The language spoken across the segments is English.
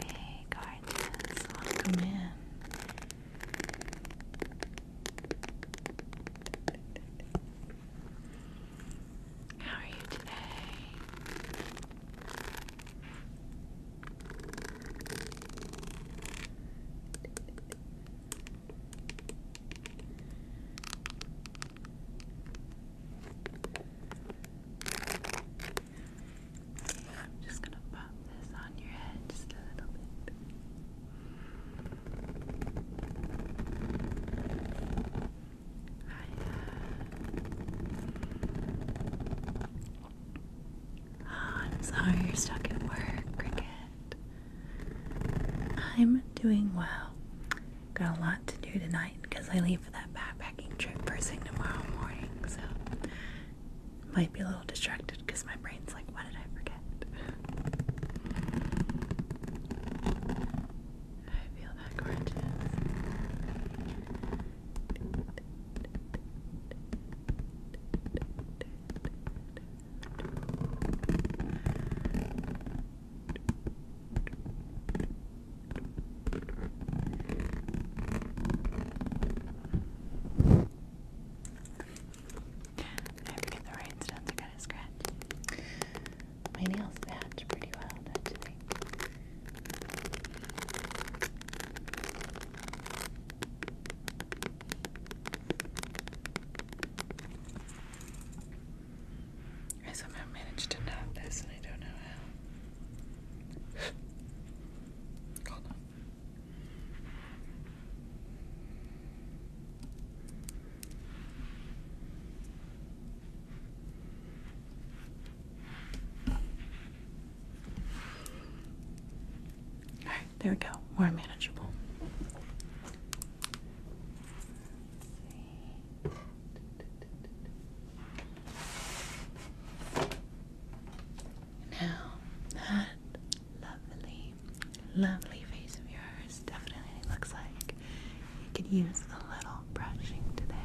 Hey, guardians, welcome in. How are you today? I'm just going to pop this on your head just a little bit. I'm sorry you're stuck at work, I'm doing well. Got a lot to do tonight because I leave for that backpacking trip first thing tomorrow morning, so might be a little distracted because my brain's like, what did I forget? I feel that gorgeous. I forget the right sounds are kind of scratchy. My nails match pretty well, do I somehow managed to knot this and I don't know how. Hold on. All right, there we go. More manageable. Now, that lovely, lovely face of yours definitely looks like back. You can use a little brushing today.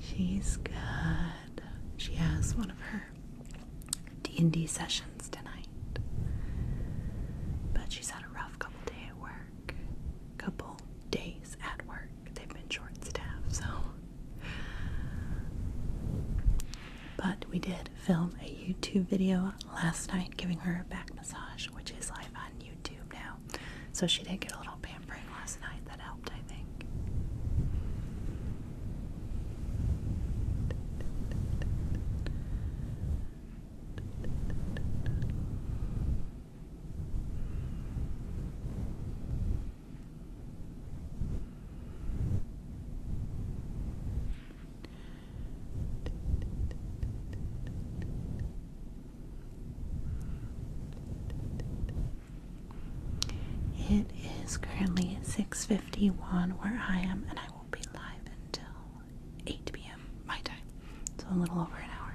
She's good. She has one of her D&D sessions tonight. But she's had a rough couple day at work. Couple days at work. They've been short staffed, so but we did film a YouTube video last night giving her a back massage, which is live on YouTube now. So she did get a little pampering last night. That helped, I think. It is currently 6:51 where I am and I will not be live until 8 p.m. my time. So a little over an hour.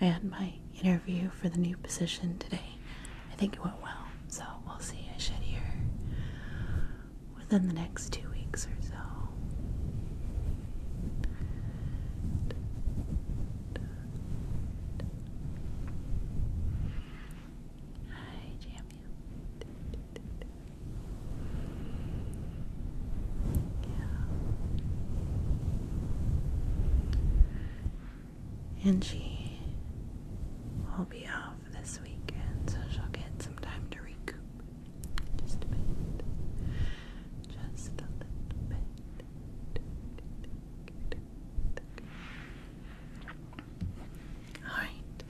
And my interview for the new position today. I think it went well, so we'll see. I should hear within the next two weeks or so. Hi, Jamie. And she will be off this weekend, so she'll get some time to recoup. Just a bit. Just a little bit. Alright.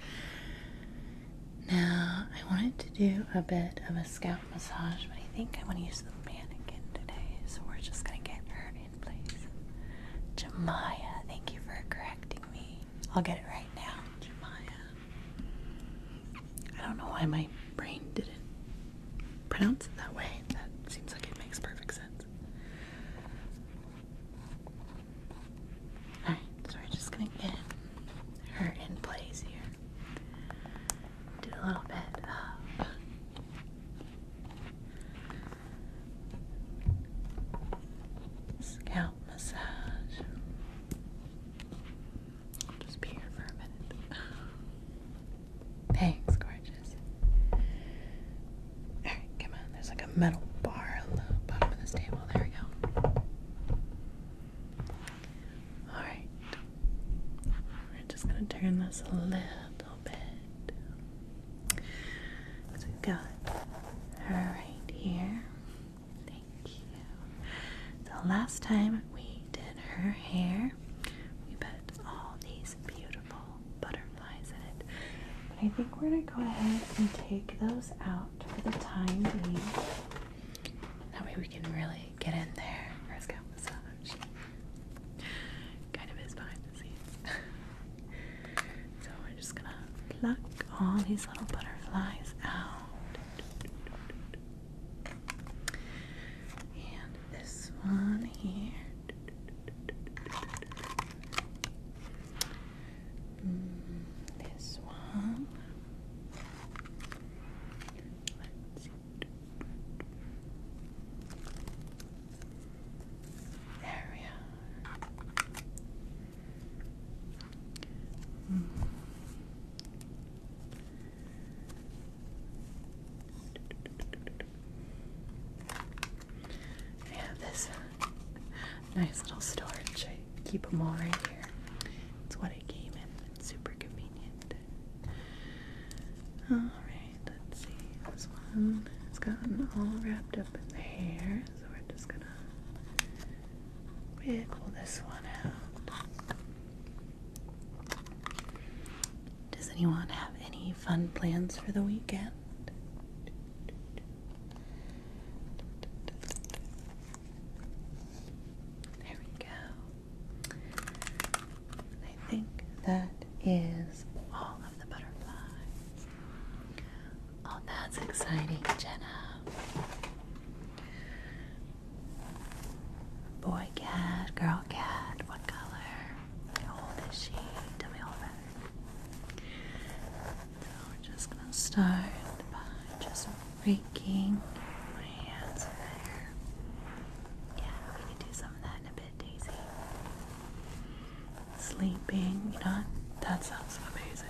Now I wanted to do a bit of a scout massage, but I think I want to use the mannequin today, so we're just gonna get her in place. Jemaya, thank you for correcting me. I'll get it right now, Jemaya. I don't know why my brain didn't pronounce it that way. That seems like it makes perfect sense. Alright, so we're just gonna get her in place here do a little bit of scalp massage. just be here for a minute. Thanks, gorgeous. Alright, come on. There's like a metal bar on the this table. There we go. Alright, we're just going to turn this a little bit. So we've got her right here. Thank you. So last time we did her hair, we put all these beautiful butterflies in it. But I think we're going to go ahead and take those out for the time being. That way we can really get in there. First, go massage kind of is behind the scenes. so we're just gonna pluck all these little butterflies out. And this one here. Mm, this one. There we have this nice little storage. I keep them all right here. It's what I came in. It's super convenient. Alright, let's see. This one has gotten all wrapped up in the hair, so we're just gonna wiggle this one out. Does anyone have any fun plans for the weekend? There we go. I think that is all of the butterflies. Oh, that's exciting, Jenna. Boy cat, girl cat, what color? How old is she? Tell me all about So we're just gonna start by just raking, hands Yeah, we could do some of that in a bit, Daisy. Sleeping, you know, that sounds amazing.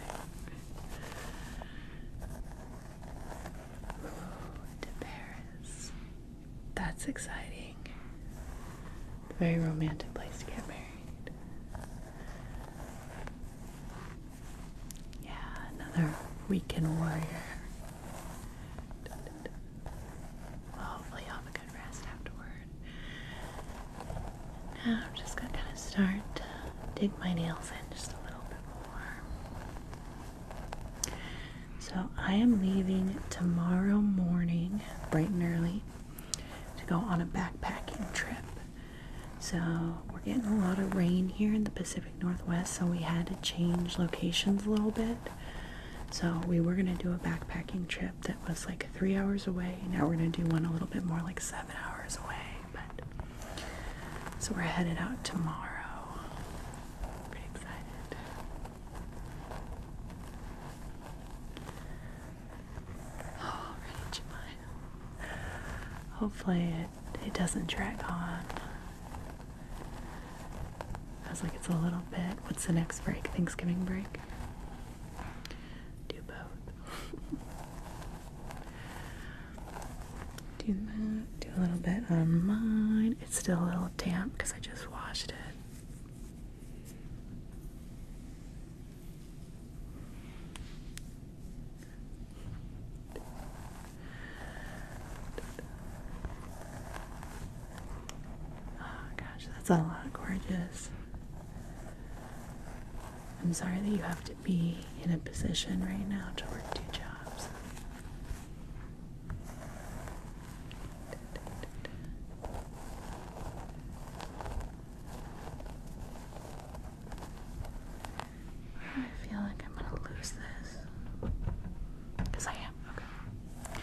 to Paris. That's exciting. Very romantic place to get married. Yeah, another weekend warrior. Well, hopefully you a good rest afterward. Now I'm just gonna kind of start to dig my nails in just a little bit more. So I am leaving tomorrow morning, bright and early, to go on a backpacking trip. So we're getting a lot of rain here in the Pacific Northwest, so we had to change locations a little bit. So we were gonna do a backpacking trip that was like three hours away. Now we're gonna do one a little bit more like seven hours away. But so we're headed out tomorrow. Pretty excited. Oh, ready, Hopefully it it doesn't drag on. I was like, it's a little bit. What's the next break? Thanksgiving break? Do both. do that. Do a little bit on mine. It's still a little damp because I just washed it. Oh gosh, that's a lot of gorgeous. I'm sorry that you have to be in a position right now to work two jobs. I feel like I'm gonna lose this. Because I am. Okay.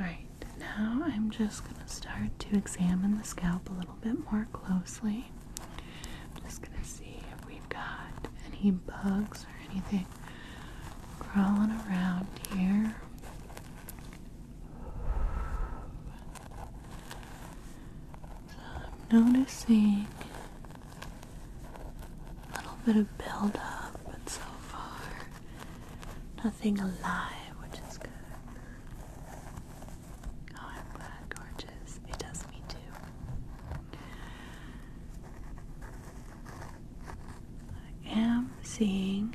Alright, now I'm just going to start to examine the scalp a little bit more closely. I'm just going to see if we've got any bugs or anything crawling around here. So I'm noticing a little bit of build up, but so far nothing alive, which is good. Oh, I'm glad, gorgeous. It does me too. I am seeing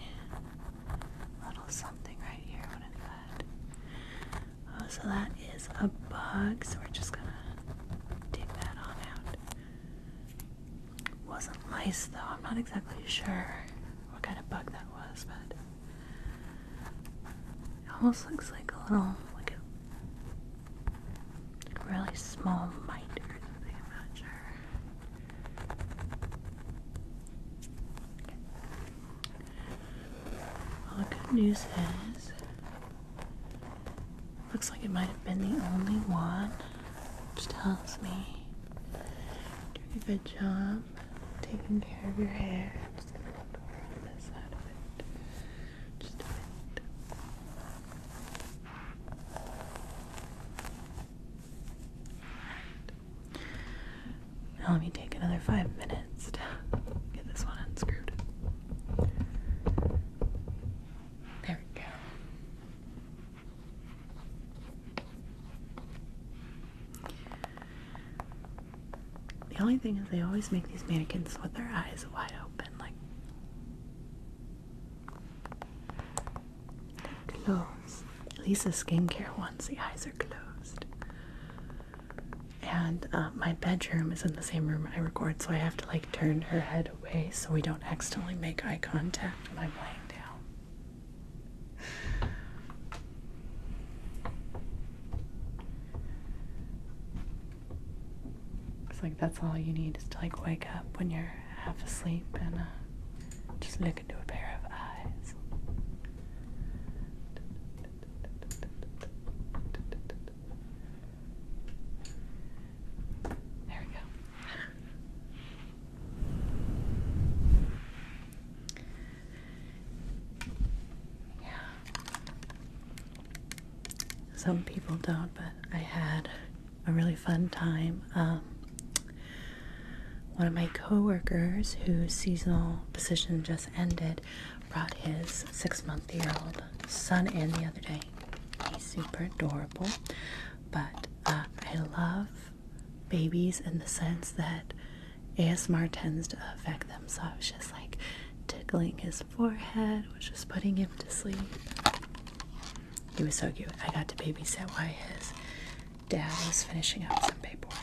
a little something right here. What is that? Oh, so that is a bug. So we're just gonna dig that on out. Wasn't lice though. I'm not exactly sure what kind of bug that was, but it almost looks like a little like a, really small mite or something. I'm not sure. Well, the good news is Looks like it might have been the only one, which tells me doing a good job taking care of your hair. just gonna pour on this side of it. Just a bit. Now let me take another five minutes to get this one unscrewed. There we go. The only thing is, they always make these mannequins with their eyes wide open, like. Closed. At least the skincare once the eyes are closed. And uh, my bedroom is in the same room I record, so I have to like turn her head Way so we don't accidentally make eye contact when I'm laying down. It's like that's all you need is to like wake up when you're half asleep and uh, just look into a pair of eyes. There we go. Yeah. Some people don't, but I had a really fun time. Um, one of my coworkers, whose seasonal position just ended, brought his six-month-year-old son in the other day. He's super adorable. But uh, I love babies in the sense that ASMR tends to affect them. So I was just like tickling his forehead, was just putting him to sleep. He was so cute. I got to babysit while his dad was finishing up some paperwork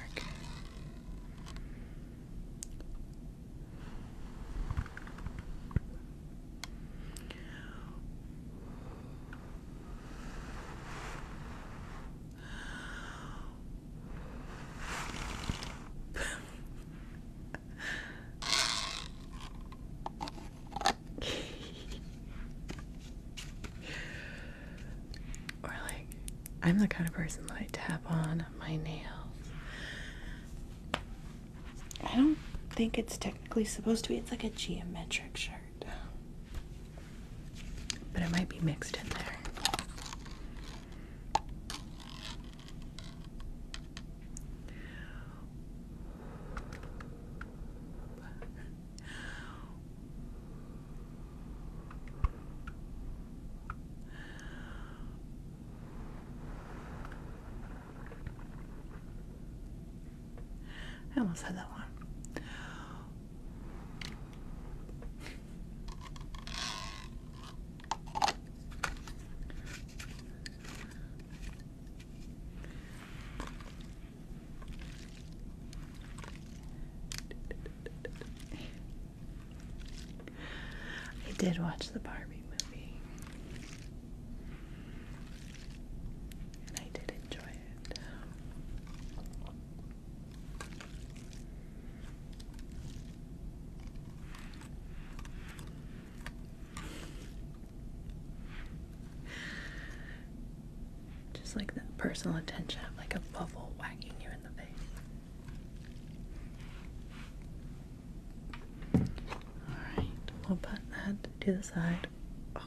or like I'm the kind of person that I tap on my nails I don't think it's technically supposed to be. It's like a geometric shirt. But it might be mixed in there. I almost had that one. I did watch the Barbie movie. And I did enjoy it. Just like that personal attention, like a bubble whacking you in the face. Alright, we'll put that to the side. Oh,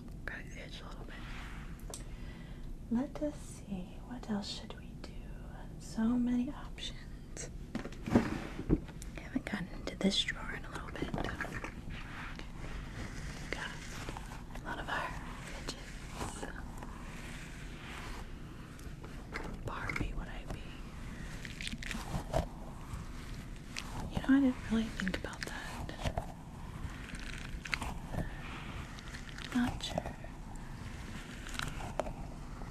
Let us see. What else should we do? So many options. haven't gotten into this drawer in a little bit. Got a lot of our fidgets. Barbie would I be? You know, I didn't really think about that. Not sure.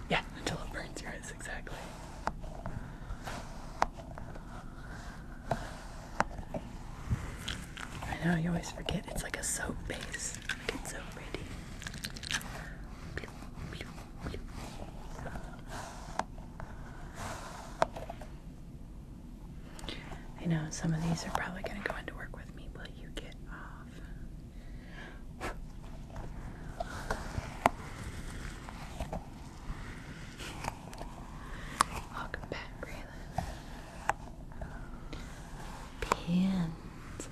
Yeah, until it burns your eyes, exactly. I know, you always forget. It's like a soap base. Like so pretty. I know some of these are probably going to go into work with me. Will you get off? Welcome back, Raylan. Pins.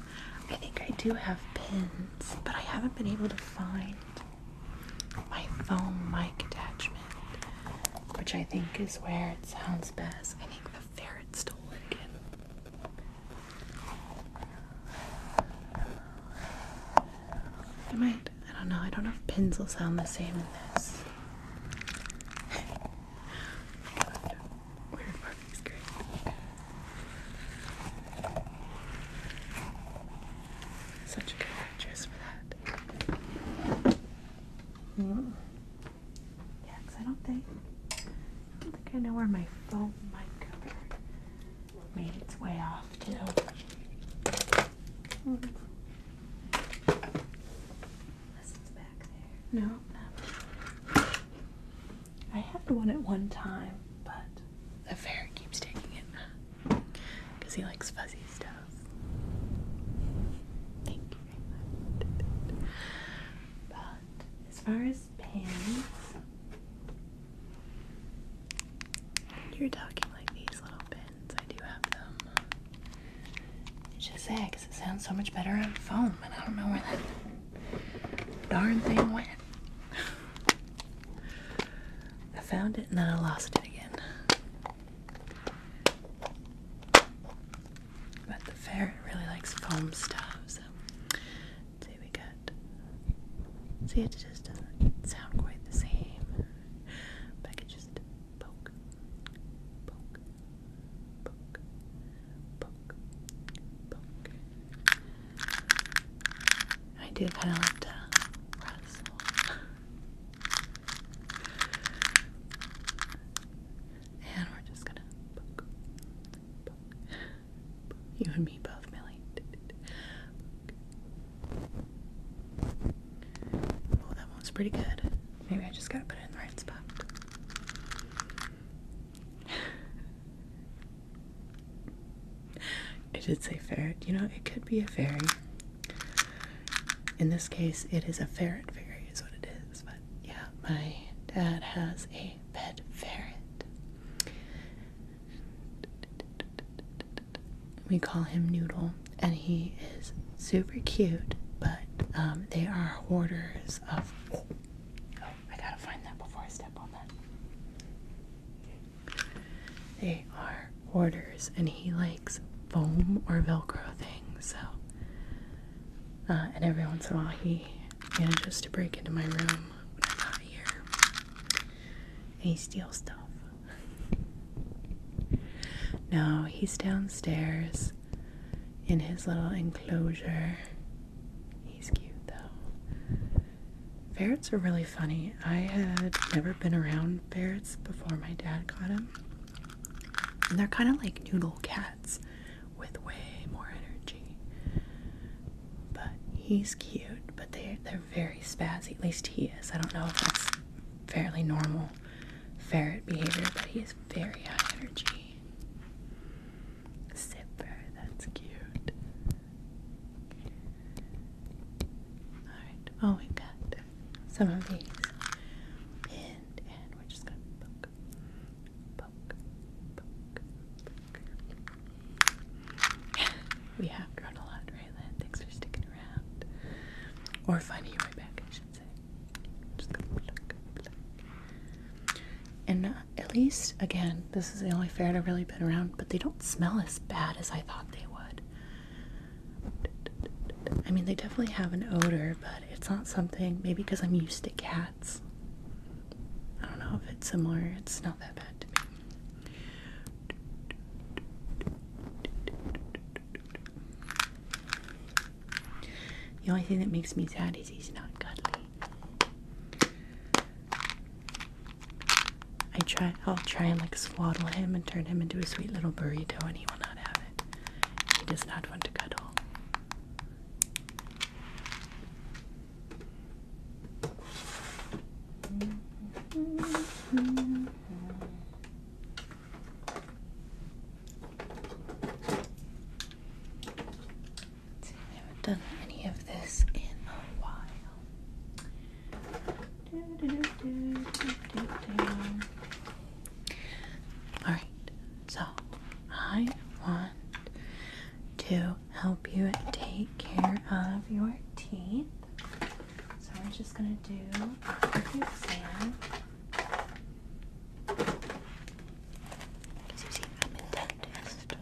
I think I do have pins, but I haven't been able to find my phone mic attachment, which I think is where it sounds best. I think the ferret stole it again. I might. I don't know. I don't know if pins will sound the same in this. Such a good actress for that that. Hmm. I don't think I don't think I know where my phone mic cover made its way off to. Mm. Unless back there. No, no. I had one at one time, but the fairy keeps taking it. Because he likes fuzzy stuff. Thank you very much. But as far as pins, you're talking like these little pins. I do have them. It's just sad it sounds so much better on phone, but I don't know where that darn thing went. I found it and then I lost it again. But the ferret really likes foam stuff, so see we got see it just doesn't sound quite the same. But I could just poke, poke, poke, poke, poke. I do kind of like to rustle. And we're just gonna You and me both, Millie. Oh, that one's pretty good. Maybe I just gotta put it in the right spot. It did say ferret. You know, it could be a fairy. In this case, it is a ferret fairy, is what it is. But yeah, my dad has a pet ferret. We call him Noodle, and he is super cute. But um, they are hoarders of. Oh, I gotta find that before I step on that. They are orders and he likes foam or velcro things so uh, and every once in a while he manages to break into my room when I'm not here and he steals stuff no he's downstairs in his little enclosure he's cute though ferrets are really funny I had never been around ferrets before my dad caught them. And they're kind of like noodle cats with way more energy. But he's cute, but they, they're very spazzy. At least he is. I don't know if that's fairly normal ferret behavior, but he is very high energy. Zipper, that's cute. Alright, oh, my god some of these pinned, and we're just gonna poke, poke, poke, poke. we have grown a lot, Raylan. Thanks for sticking around. Or finding you right back, I should say. Just gonna pluck, pluck. And uh, at least, again, this is the only fair I've really been around, but they don't smell as bad as I thought they would. I mean, they definitely have an odor, but it's not something. Maybe because I'm used to cats. I don't know if it's similar. It's not that bad to me. The only thing that makes me sad is he's not cuddly. I try I'll try and like swaddle him and turn him into a sweet little burrito and he will not have it. He does not want to cuddle. I haven't done any of this in a while. All right, so I want to help you take care of your teeth. So we're just gonna do a quick exam. Because you see, I'm a dentist.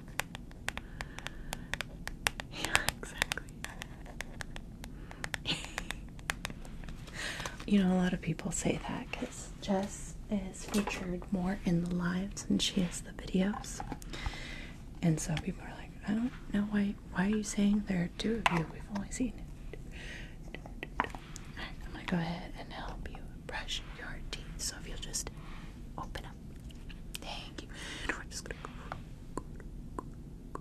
Yeah, exactly. you know, a lot of people say that because Jess is featured more in the lives than she is the videos. And so people are like, I don't know why why are you saying there are two of you? We've only seen it. I'm gonna go ahead and help you brush your teeth. So if you'll just open up. Thank you. And we just gonna go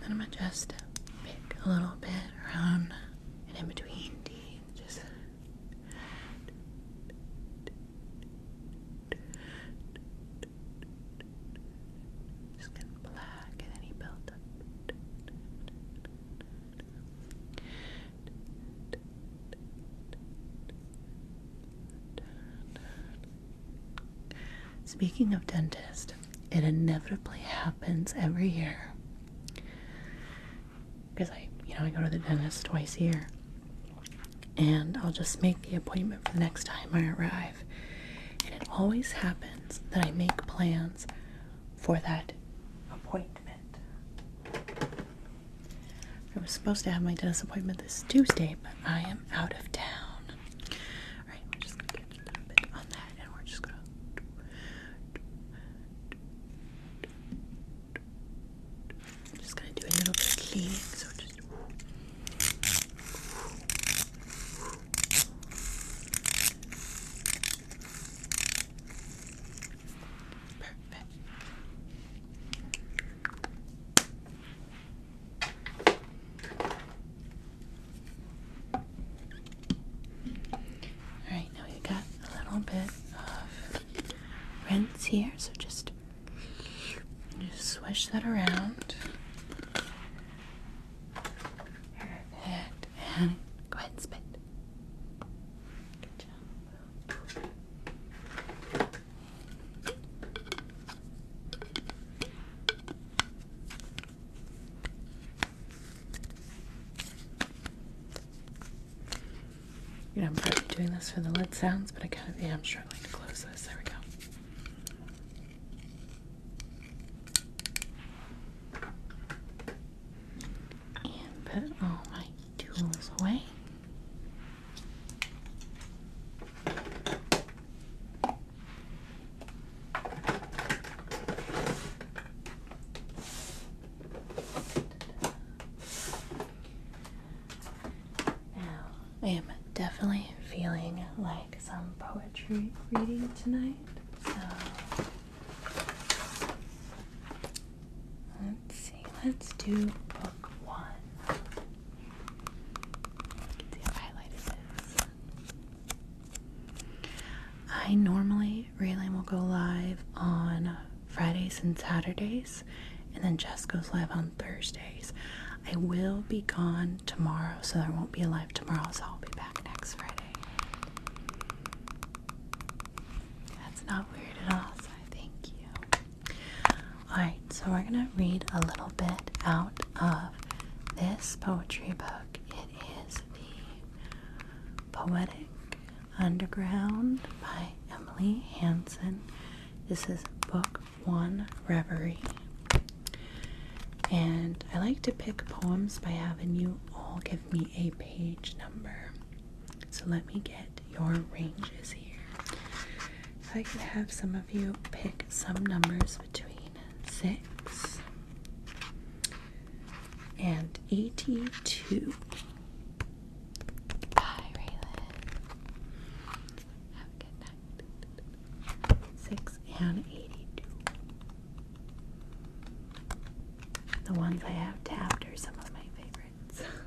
Then I'm gonna just pick a little bit around and in between Just just going black and any build up. Speaking of dentist, it inevitably happens every year. Because I, you know, I go to the dentist twice a year. And I'll just make the appointment for the next time I arrive. And it always happens that I make plans for that appointment. I was supposed to have my dentist appointment this Tuesday, but I am out of town. Alright, just gonna a bit on that and we're just gonna. just gonna do a little bit of cleaning, so just. Perfect. Alright, now you got a little bit of rinse here, so just, just swish that around. Perfect. And go ahead spit. Good job. I'm probably doing this for the lid sounds, but I kind of am struggling to close this. There we go. And put all my tools away. Now, I am definitely feeling like some poetry reading tonight, so let's see, let's do book one. See how highlighted it is. I normally Raylan will go live on Fridays and Saturdays, and then Jess goes live on Thursdays. I will be gone tomorrow, so there won't be a live tomorrow, so I'll be back next Friday. That's not weird at all, so thank you. Alright, so we're gonna read a little bit out of this poetry book. It is The Poetic Underground by Emily Hansen. This is book one, Reverie. And I like to pick poems by having you all give me a page number. So let me get your ranges here. I could have some of you pick some numbers between 186 and 82. Bye, Raylan. Have a good night. 6 and 82. The ones I have tapped are some of my favorites.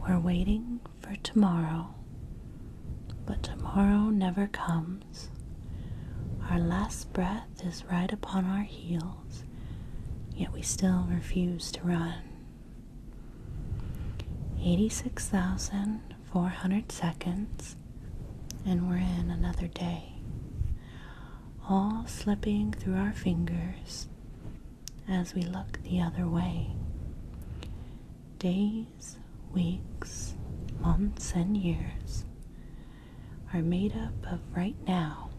We're waiting for tomorrow, but tomorrow never comes. Our last breath is right upon our heels, yet we still refuse to run. 86,400 seconds, and we're in another day, all slipping through our fingers as we look the other way. Days, weeks, months, and years are made up of right now,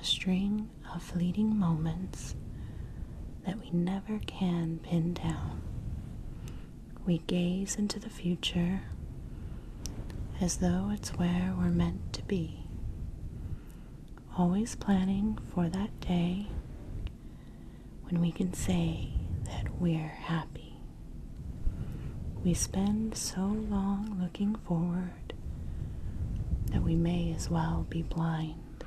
a string of fleeting moments that we never can pin down. We gaze into the future as though it's where we're meant to be always planning for that day when we can say that we're happy. We spend so long looking forward that we may as well be blind,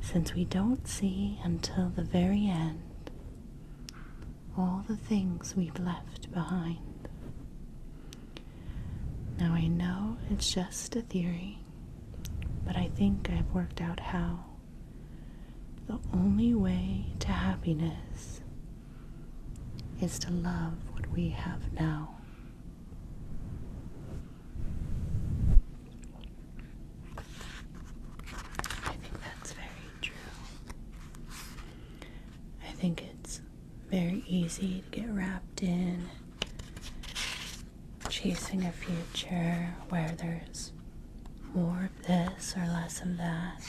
since we don't see until the very end all the things we've left behind. Now, I know it's just a theory, but I think I've worked out how. The only way to happiness is to love what we have now. I think that's very true. I think it's very easy to get wrapped in chasing a future where there's more of this or less of that.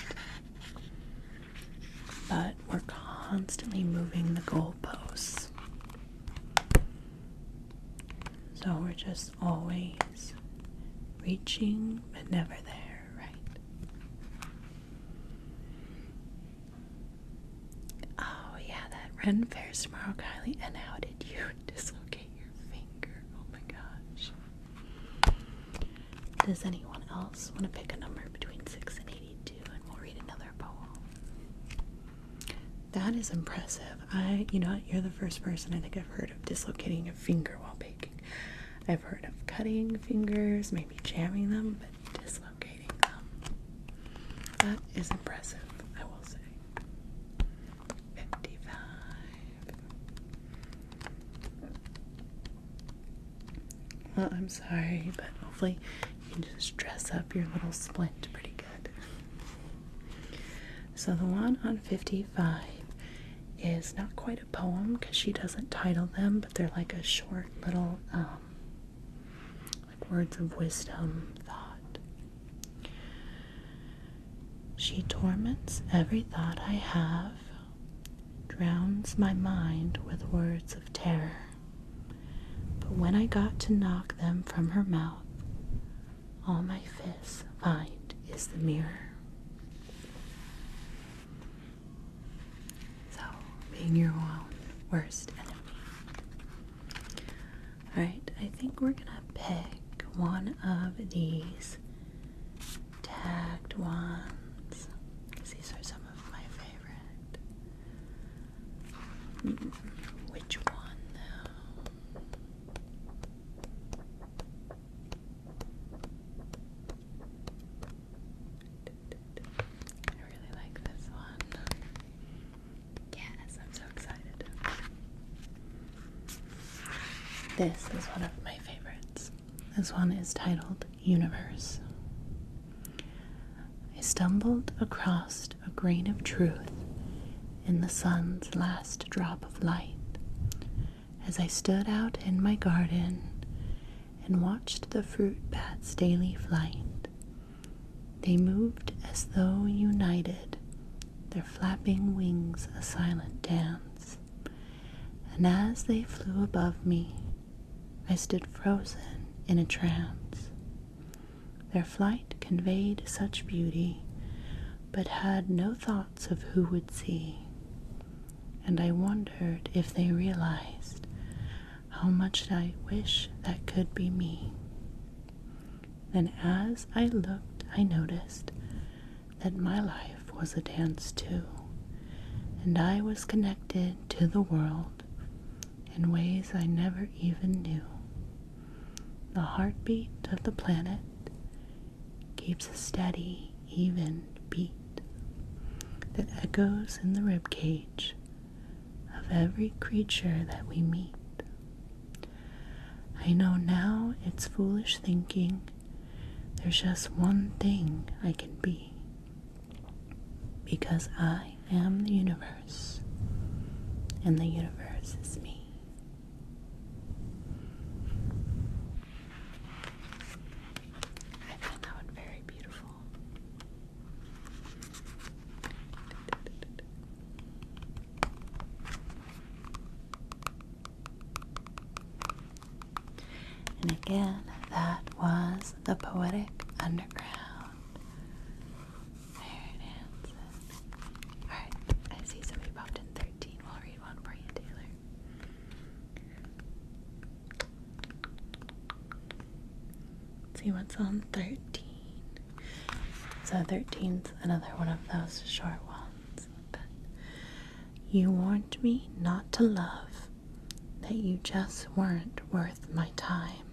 But we're constantly moving the goalposts. So we're just always reaching but never there, right? Oh, yeah, that Ren Fair's tomorrow, Kylie. And how did you dislocate your finger? Oh my gosh. Does anyone else want to pick a number between 6 and 82 and we'll read another poem? That is impressive. I, you know, you're the first person I think I've heard of dislocating a finger while baking. I've heard of cutting fingers, maybe jamming them, but dislocating that is impressive, I will say. Well, I'm sorry, but hopefully you can just dress up your little splint pretty good. So the one on 55 is not quite a poem because she doesn't title them, but they're like a short little um, like words of wisdom, thought. She torments every thought I have, drowns my mind with words of terror. But when I got to knock them from her mouth, all my fists find is the mirror. So, being your own worst enemy. Alright, I think we're gonna pick one of these tagged ones because these are some of my favorite. Hmm, which one though? I really like this one. Yes, I'm so excited. This is one of my favorites. This one is titled Universe. I stumbled across a grain of truth in the sun's last drop of light as I stood out in my garden and watched the fruit bat's daily flight they moved as though united, their flapping wings a silent dance. And as they flew above me, I stood frozen in a trance. Their flight conveyed such beauty, but had no thoughts of who would see. And I wondered if they realized how much I wish that could be me. Then, as I looked, I noticed that my life was a dance too, and I was connected to the world in ways I never even knew. The heartbeat of the planet keeps a steady, even beat that echoes in the rib ribcage of every creature that we meet. I know now it's foolish thinking there's just one thing I can be. Because I am the universe, and the universe is me. I found that one very beautiful. And again, that was the Poetic Underground. There it is. Alright, I see somebody popped in 13. We'll read one for you, Taylor. see what's on 13. So thirteenth, another one of those short ones. you warned me not to love, that you just weren't worth my time.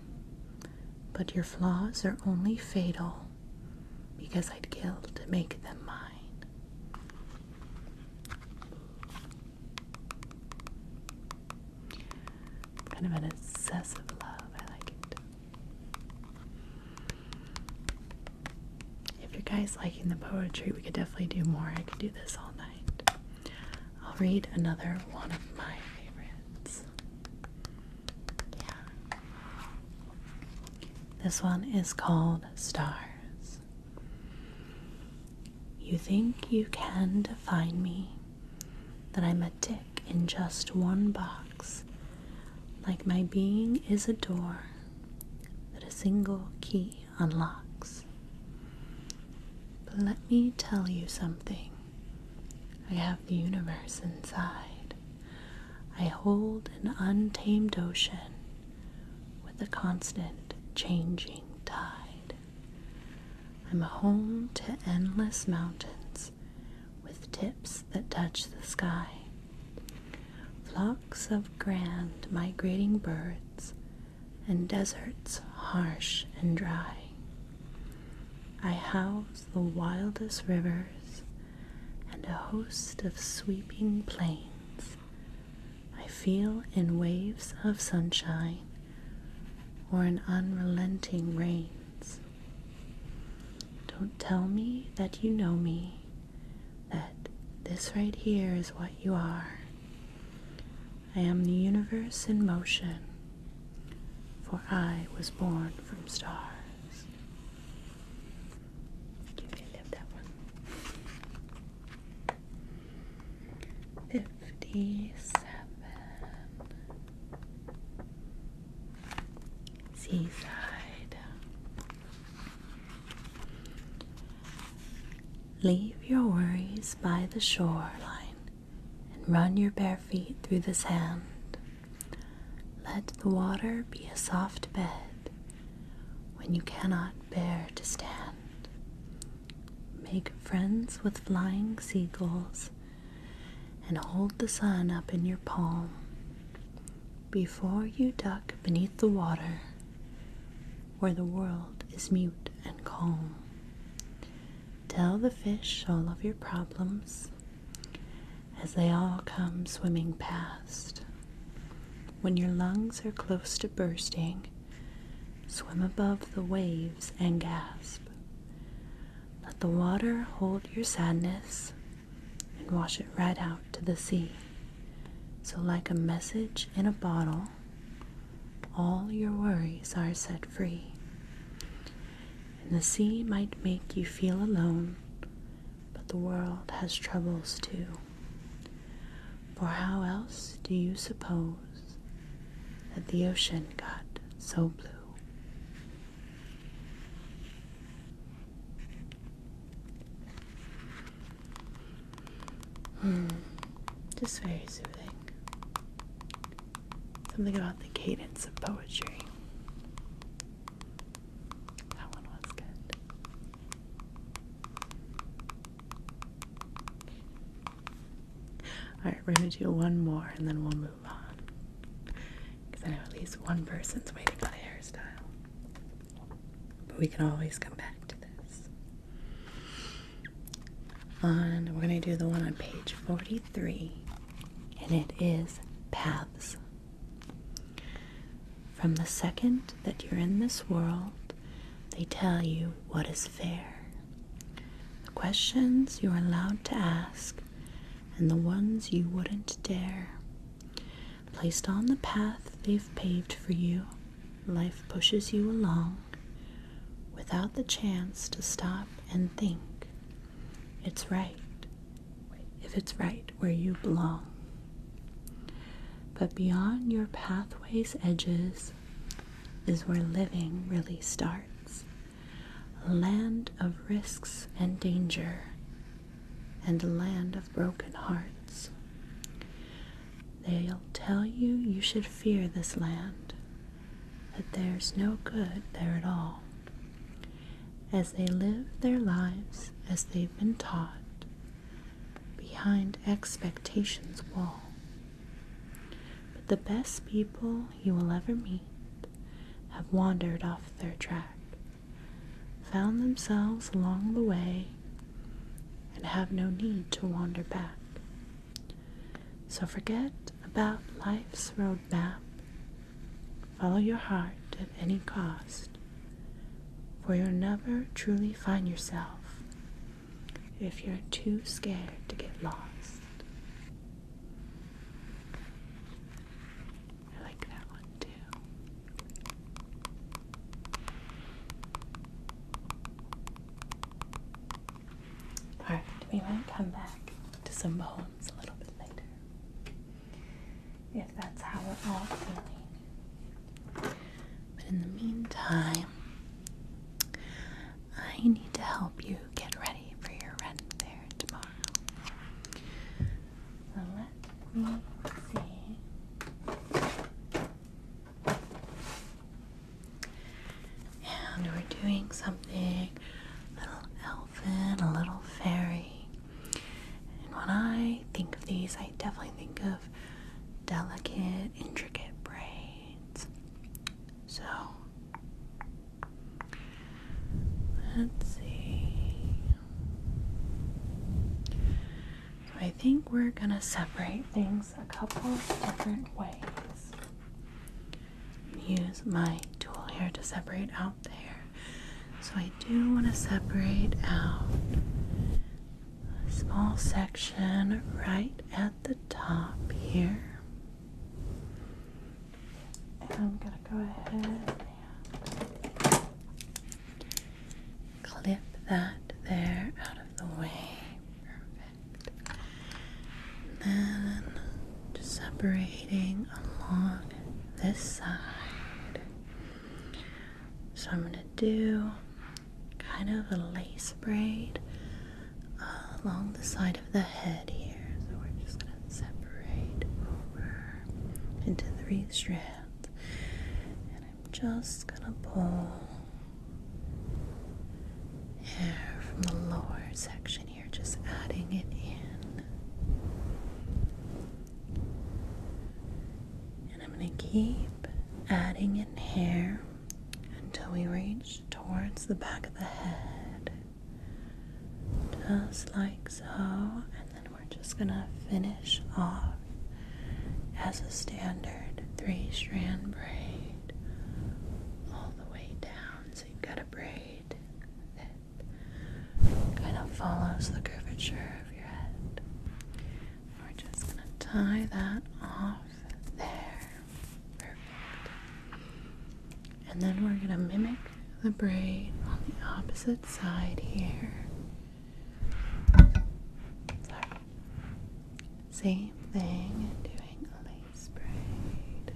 But your flaws are only fatal because I'd kill to make them mine. Kind of an obsessive love, I like it. If you guys liking the poetry, we could definitely do more. I could do this all night. I'll read another one of my favorites. Yeah. This one is called Stars. You think you can define me? that I'm a dick in just one box, like my being is a door that a single key unlocks. But let me tell you something. I have the universe inside. I hold an untamed ocean with a constant changing tide. I'm home to endless mountains with tips that touch the sky. Flocks of grand migrating birds and deserts harsh and dry. I house the wildest rivers and a host of sweeping plains. I feel in waves of sunshine or an unrelenting rain. Don't tell me that you know me, that this right here is what you are. I am the universe in motion, for I was born from stars. You can that one. Fifty-seven. Seaside. Leave your worries by the shoreline and run your bare feet through the sand. Let the water be a soft bed when you cannot bear to stand. Make friends with flying seagulls and hold the sun up in your palm before you duck beneath the water where the world is mute and calm. Tell the fish all of your problems as they all come swimming past. When your lungs are close to bursting, swim above the waves and gasp. Let the water hold your sadness and wash it right out to the sea. So, like a message in a bottle, all your worries are set free. And the sea might make you feel alone, but the world has troubles too. For how else do you suppose that the ocean got so blue? Hmm. just very soothing. Something about the cadence of poetry. That one was good. Alright, we're going to do one more and then we'll move on. Because I know at least one person's waiting on a hairstyle. But we can always come back to this. On, we're going to do the one on page 43, and it is paths. From the second that you're in this world, they tell you what is fair. The questions you are allowed to ask and the ones you wouldn't dare. Placed on the path they've paved for you, life pushes you along without the chance to stop and think. It's right if it's right where you belong. But beyond your pathway's edges is where living really starts land of risks and danger, and land of broken hearts. They'll tell you you should fear this land, that there's no good there at all. As they live their lives as they've been taught, behind expectation's wall. But the best people you will ever meet have wandered off their track, found themselves along the way, and have no need to wander back. So forget about life's road map. Follow your heart at any cost, for you'll never truly find yourself if you're too scared to get lost. I like that one too. Alright, we might come back to some poems a little bit later. If that's how we're all feeling. But in the meantime, I need to help you get ready for your rent there tomorrow. So let me see. And we're doing something little elfin, a little fairy. And when I think of these, I definitely think of delicate, intricate braids. So Let's see. I think we're going to separate things a couple different ways. Use my tool here to separate out there. So I do want to separate out a small section right at the top here. And I'm going to go ahead and clip that there out of the way. Perfect. then just separating along this side. So I'm going to do kind of a lace braid uh, along the side the head here. So we're just going to separate over into three strands. And I'm just going to pull hair from the lower section here, just adding it in. And I'm going to keep adding in hair until we reach towards the back of the head just like so, and then we're just gonna finish off as a standard three strand braid all the way down. So you've got a braid that kind of follows the curvature of your head. We're just gonna tie that off there. Perfect. And then we're going to mimic the braid on the opposite side here. Same thing, doing a lace braid.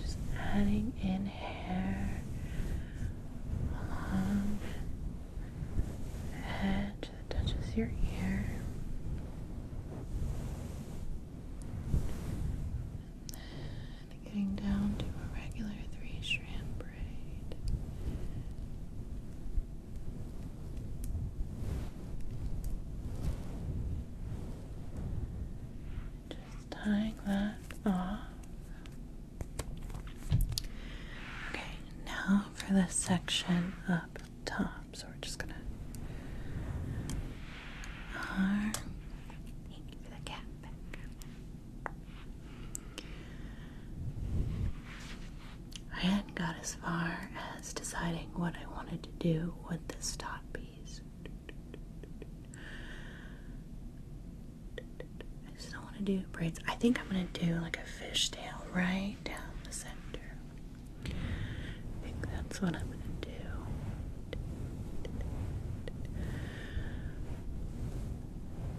Just adding in hair along the edge that touches your ear. And getting down to a regular three strand braid. Just tying that off. Okay, now for the section up top. Um, so we're just gonna. I hadn't got as far as deciding what I wanted to do with this top. piece. I just don't want to do braids. I think I'm going to do like a fishtail right down the center think that's what I'm gonna do.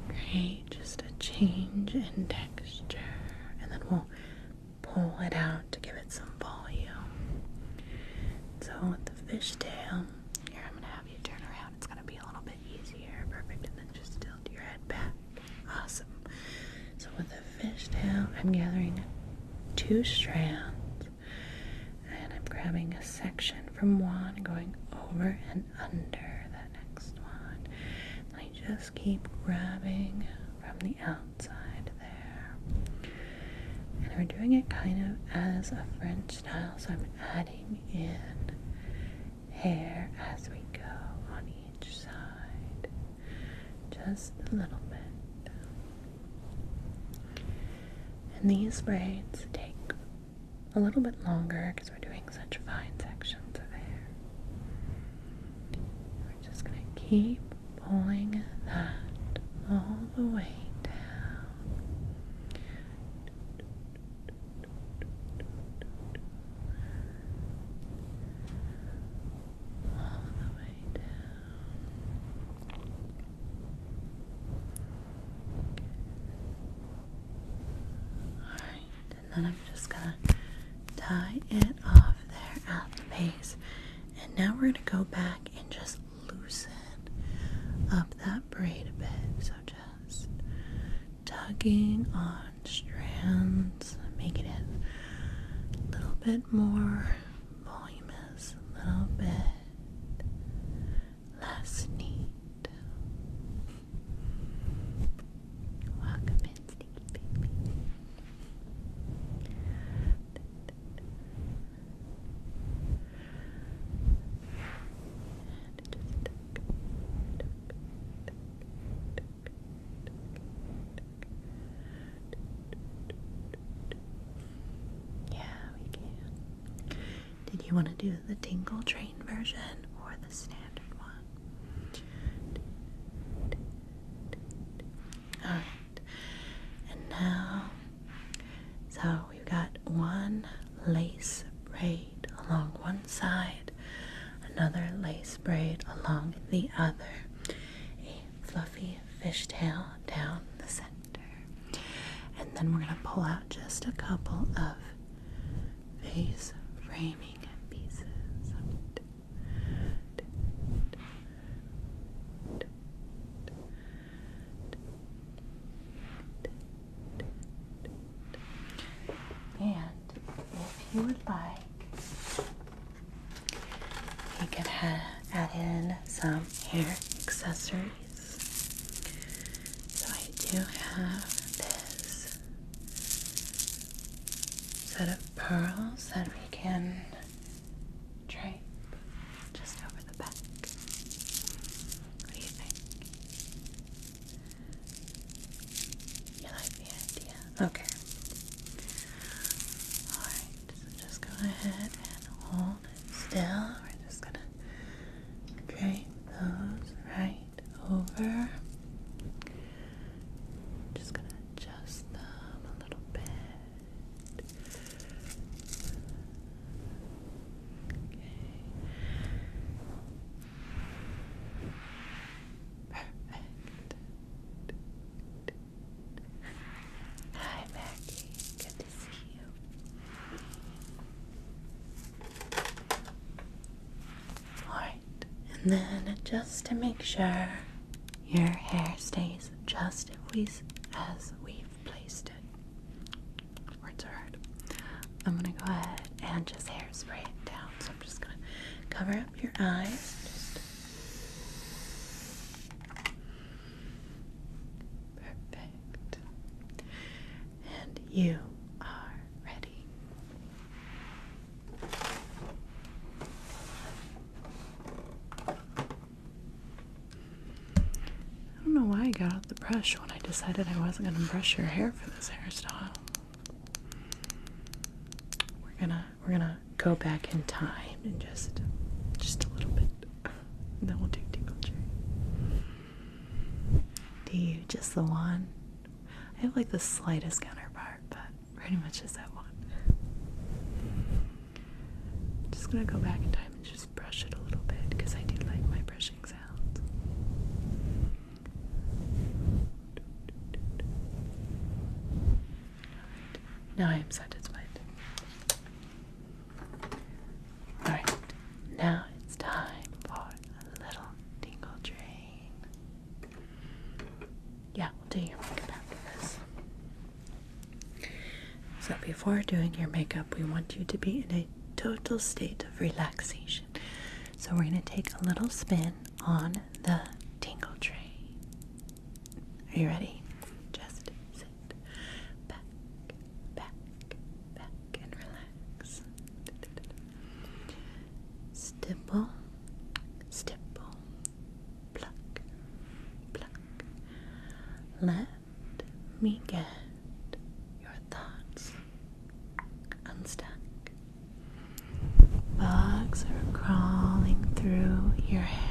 Great, just a change in texture, and then we'll pull it out to give it some volume. So with the fishtail, here I'm gonna have you turn around. It's gonna be a little bit easier, perfect, and then just tilt your head back. Awesome. So with the fish I'm gathering two strands and I'm grabbing a section from one, going over and under that next one. I just keep grabbing from the outside there. And we're doing it kind of as a French style, so I'm adding in hair as we go on each side. Just a little bit. And these braids take a little bit longer because we're doing such fine sections of hair. We're just going to keep pulling that all the way down. All the way down and then I'm just gonna tie it off there at the base. And now we're gonna go back and just loosen up that braid a bit. So just tugging on strands, making it a little bit more volume is a little bit less neat. Welcome in, Sneaky Baby. And just yeah, we can. Did you want to do the tingle train version or the standard one? Alright. And now, so we've got one lace braid along one side, another lace braid along the other, a fluffy fishtail down the center. And then we're going to pull out just a couple of vase framing pieces. And if you would like, you can add in some hair accessories. So I do have this set of pearls that we can drape just over the back. What do you think? You like the idea? Okay. Alright just go ahead and hold it still. We're just gonna drape those right over. Just gonna adjust them a little bit. Perfect. Hi, Maggie. Good to see you. Alright, and then just to make sure your hair stays just as we've placed it. Words are hard. I'm gonna go ahead and just hairspray it down. So I'm just gonna cover up your eyes. Perfect. And you are ready. I don't know why I got out the brush when I decided I wasn't going to brush your hair for this hairstyle. We're gonna we're gonna go back in time and just just a little bit. And then we'll do tickle cherry. Do you just the one? I have like the slightest counterpart, but pretty much just that one. just gonna go back in time and just brush it a little bit because I do like my brushing sounds. Now I am satisfied. Alright, now it's time for a little tingle train. Yeah, we'll do your makeup after this. So, before doing your makeup, we want you to be in a total state of relaxation. So, we're going to take a little spin on the tingle train. Are you ready? Just sit back, back, back, and relax. Stipple, stipple, pluck, pluck. Let me get your thoughts unstuck. Bugs are crawling through your hair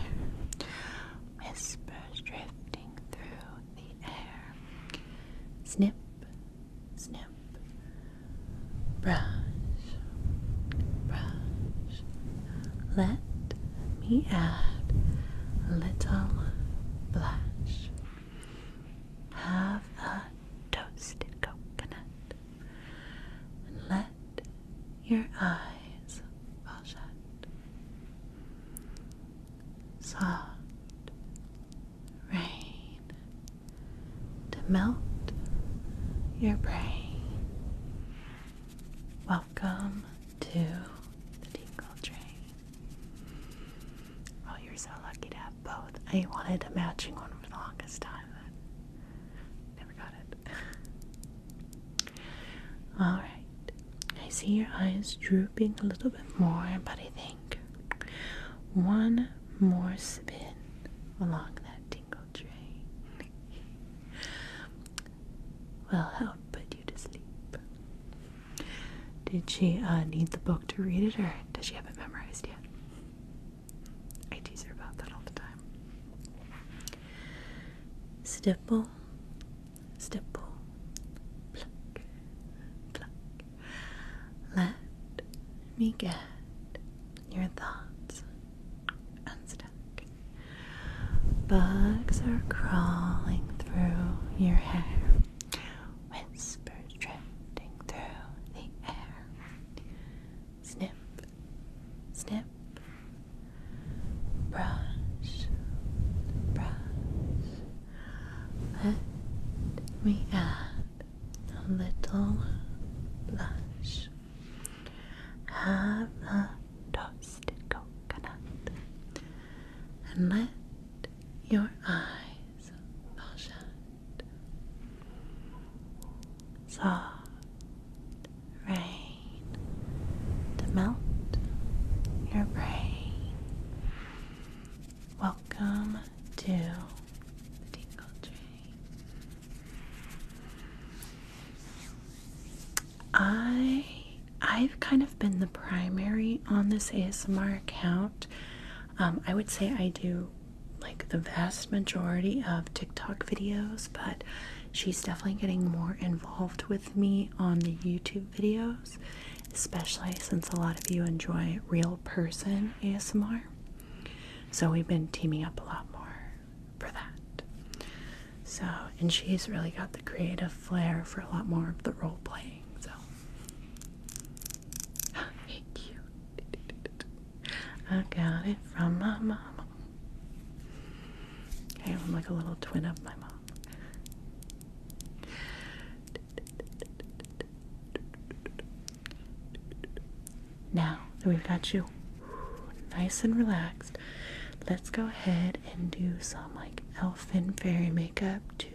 whispers drifting through the air. Snip, snip, brush, brush. Let me add a little blush. Have a toasted coconut let your eyes fall shut. Soft rain to melt your brain. Welcome to the Tingle Train. Oh, you're so lucky to have both. I wanted a matching one for the longest time, but never got Alright, I see your eyes drooping a little bit more, but I think one more spin along that tingle train will help put you to sleep. Did she uh, need the book to read it, or does she have it memorized yet? I tease her about that all the time. Stipple, stipple, pluck, pluck. Let me get your thoughts unstuck. Bugs are crawling through your hair, whispers drifting through the air. Snip, snip, brush, brush. Let me add a little blush. Have a toasted coconut and let your eyes fall Soft rain to melt your brain. Welcome to the Tinkle Tree. I I've kind of been the primary on this ASMR account. Um, I would say I do like the vast majority of TikTok videos, but she's definitely getting more involved with me on the YouTube videos, especially since a lot of you enjoy real person ASMR. So we've been teaming up a lot more for that. So, and she's really got the creative flair for a lot more of the role playing. So, thank you. I got it from my mama. Okay, I'm like a little twin of my mom. Now that we've got you nice and relaxed, let's go ahead and do some like elfin fairy makeup to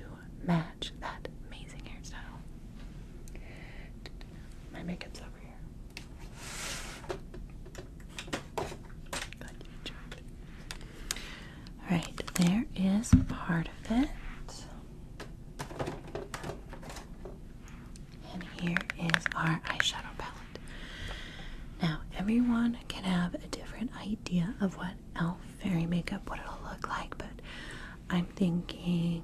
match that amazing hairstyle. My makeup's over here. Alright, there is part of it. And here is our eyeshadow palette. Now, everyone can have a different idea of what elf fairy makeup, would look like, but I'm thinking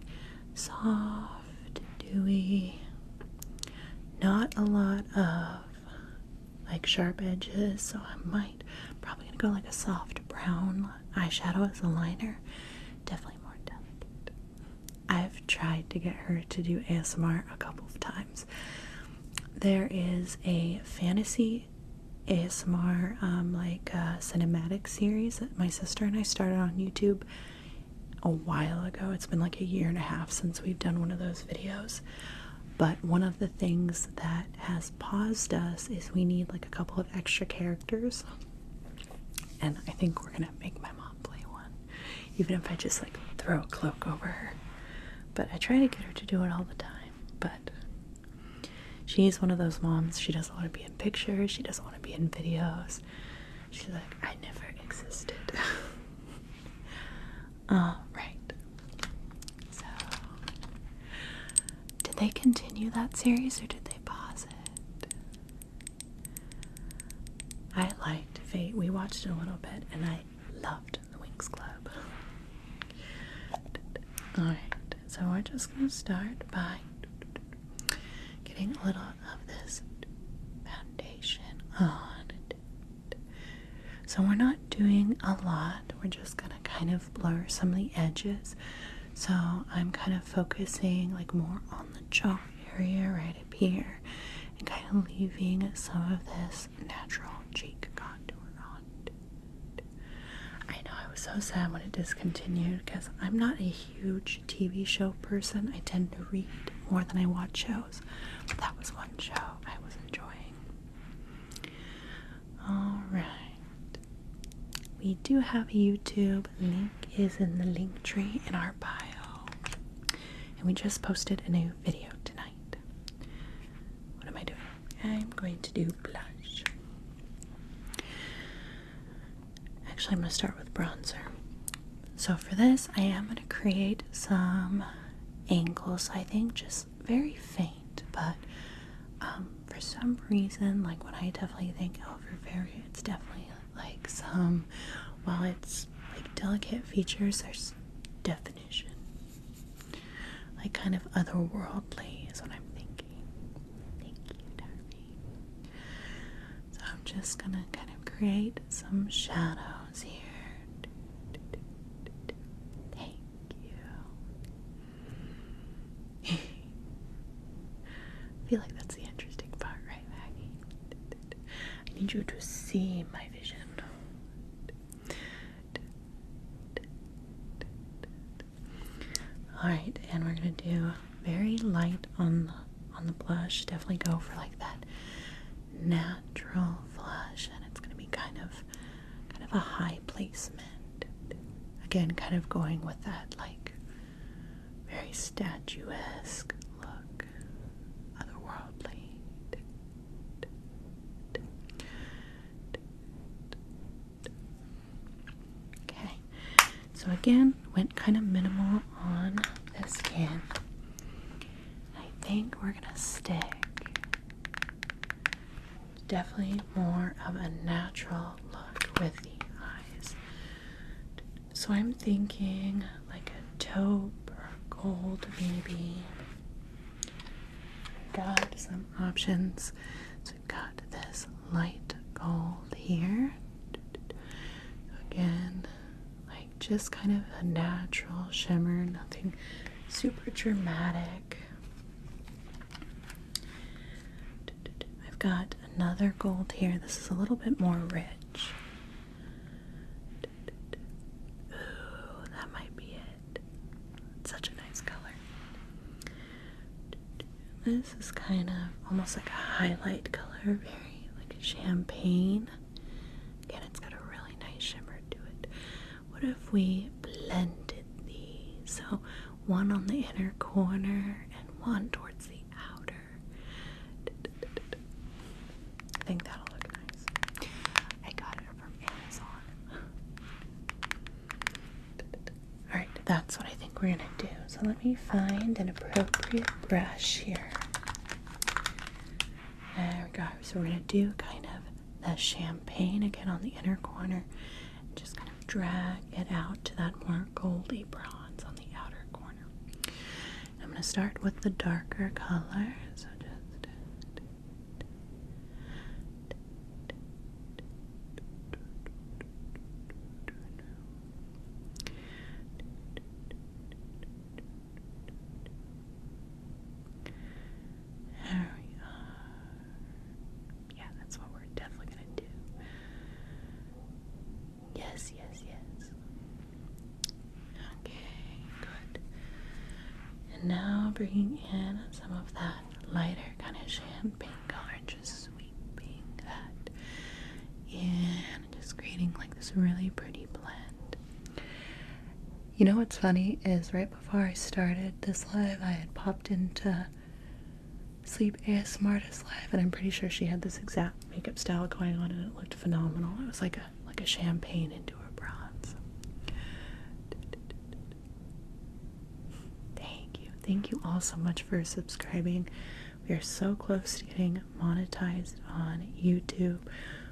soft, dewy, not a lot of like sharp edges, so I might probably gonna go like a soft brown eyeshadow as a liner. Definitely more delicate. I've tried to get her to do ASMR a couple of times. There is a fantasy ASMR um, like uh, cinematic series that my sister and I started on YouTube a while ago. It's been like a year and a half since we've done one of those videos. But one of the things that has paused us is we need like a couple of extra characters. And I think we're gonna make my mom play one, even if I just like throw a cloak over her. But I try to get her to do it all the time. But she's one of those moms, she doesn't want to be in pictures, she doesn't want to be in videos. She's like, I never existed. Uh, right. So, did they continue that series or did they pause it? I liked Fate. We watched it a little bit and I loved the Winx Club. Alright, so we're just going to start by getting a little of this foundation on. So we're not doing a lot. We're just going to kind of blur some of the edges. So I'm kind of focusing like more on the jaw area right up here and kind of leaving some of this natural cheek contour on. I know I was so sad when it discontinued because I'm not a huge TV show person. I tend to read more than I watch shows. That was one show I was enjoying. Alright. We do have a YouTube link is in the link tree in our bio. And we just posted a new video tonight. What am I doing? I'm going to do blush. Actually, I'm going to start with bronzer. So for this, I am going to create some angles, I think, just very faint. But um, for some reason, like what I definitely think over elderberry, it's definitely like some, while it's like delicate features, there's definition. Like kind of otherworldly is what I'm thinking. Thank you, darling. So I'm just gonna kind of create some shadows. Thank you. I feel like that's the interesting part, right, Maggie? I need you to see my vision. All right, and we're gonna do very light on the on the blush. Definitely go for like that natural flush and it's going to be kind of kind of a high placement again kind of going with that like very statuesque look otherworldly okay so again went kind of minimal on the skin I think we're gonna stick definitely more of a natural look with the eyes. So I'm thinking like a taupe or gold maybe. We've got some options. So we've got this light gold here. Again, like just kind of a natural shimmer, nothing super dramatic. I've got another gold here. This is a little bit more rich. Ooh, that might be it. such a nice color. This is kind of almost like a highlight color, very like champagne. Again, it's got a really nice shimmer to it. What if we blended these? So one on the inner corner and one towards the outer. I think that'll look nice. I got it from Amazon. Alright, that's what I think we're gonna do. So let me find an appropriate brush here. There we go. So we're going to do kind of the champagne again on the inner corner. just kind of drag it out to that more goldy bronze on the outer corner. I'm going to start with the darker color. So just... There we are. Yeah, that's what we're definitely gonna do. Yes, yes, yes. Okay, good. And now bringing in some of that lighter kind of champagne color and just sweeping that in, just creating like this really pretty blend. You know what's funny is right before I started this live, I had popped into Sleep ASMR this live, and I'm pretty sure she had this exact makeup style going on, and it looked phenomenal. It was like a like a champagne into a bronze. Thank you, thank you all so much for subscribing. We are so close to getting monetized on YouTube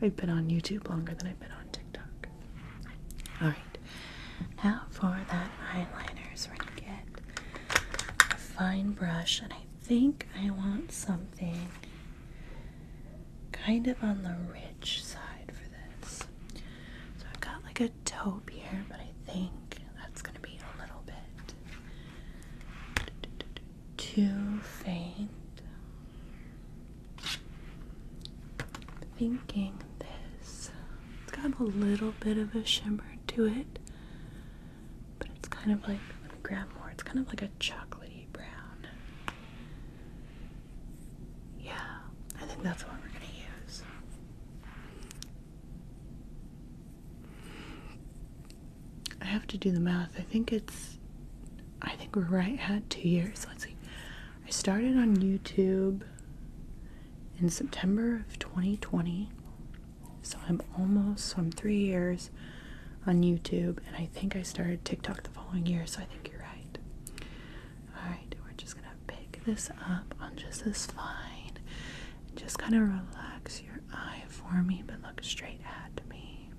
I've been on YouTube longer than I've been on TikTok. Alright, now for that eyeliner. So we're going to get a fine brush, and I think I want something kind of on the rich side for this. So I've got like a taupe here, but I think that's going to be a little bit too faint. Thinking this, it's got a little bit of a shimmer to it, but it's kind of like, let me grab more, it's kind of like a chocolatey brown. Yeah, I think that's what we're going to use. I have to do the math. I think it's, I think we're right at two years. Let's see. I started on YouTube in September of 2020. So I'm almost, so I'm three years on YouTube, and I think I started TikTok the following year, so I think you're right. Alright, we're just gonna pick this up on just this line. Just kind of relax your eye for me, but look straight at me.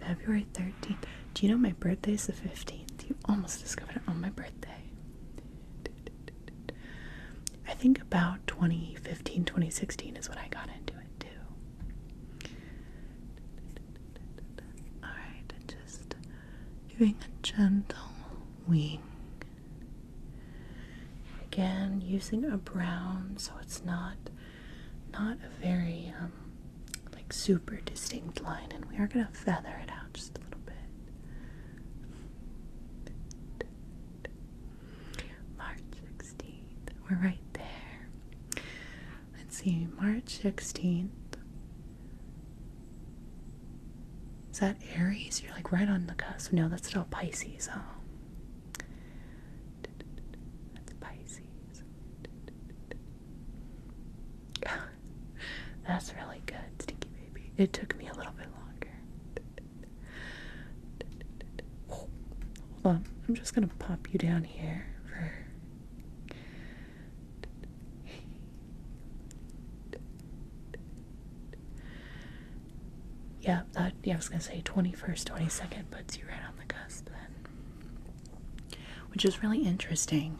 February 13th. Do you know my birthday is the 15th? You almost discovered it on my birthday. I think about 2015, 2016 is when I got into it too. Alright, just doing a gentle wing Again, using a brown, so it's not not a very um, like super distinct line, and we are gonna feather it out just a little bit. March 16th, we're right there. Let's see, March 16th. Is that Aries? You're like right on the cusp. No, that's still Pisces. Oh. That's Pisces. that's really good, Stinky Baby. It took me a little bit longer. hold on. I'm just going to pop you down here for. Yeah, that, uh, yeah, I was gonna say 21st, 22nd puts you right on the cusp then. Which is really interesting.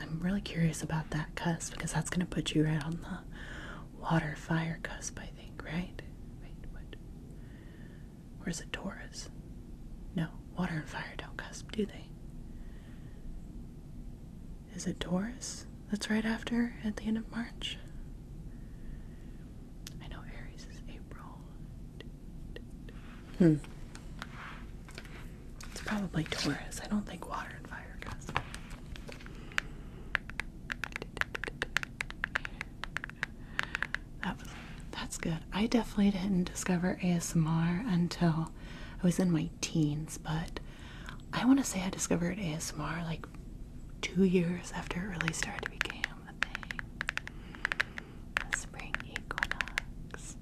I'm really curious about that cusp because that's gonna put you right on the water fire cusp, I think, right? Wait, what? Where's it Taurus? No, water and fire don't cusp, do they? Is it Taurus? That's right after, at the end of March. I know Aries is April. Hmm. It's probably Taurus. I don't think water and fire That was that's good. I definitely didn't discover ASMR until I was in my teens, but I want to say I discovered ASMR like two years after it really started to become a thing. The spring equinox.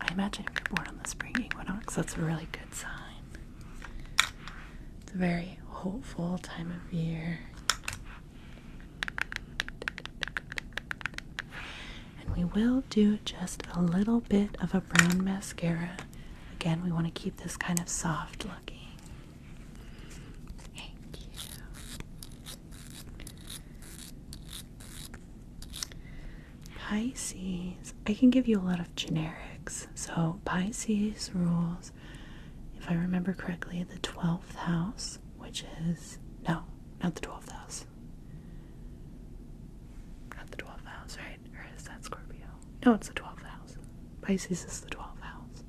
i imagine if you're born on the spring equinox, that's a really good sign. It's a very hopeful time of year. And we will do just a little bit of a brown mascara Again, we want to keep this kind of soft looking. Thank you. Pisces. I can give you a lot of generics. So, Pisces rules, if I remember correctly, the 12th house, which is. No, not the 12th house. Not the 12th house, right? Or is that Scorpio? No, it's the 12th house. Pisces is the 12th house.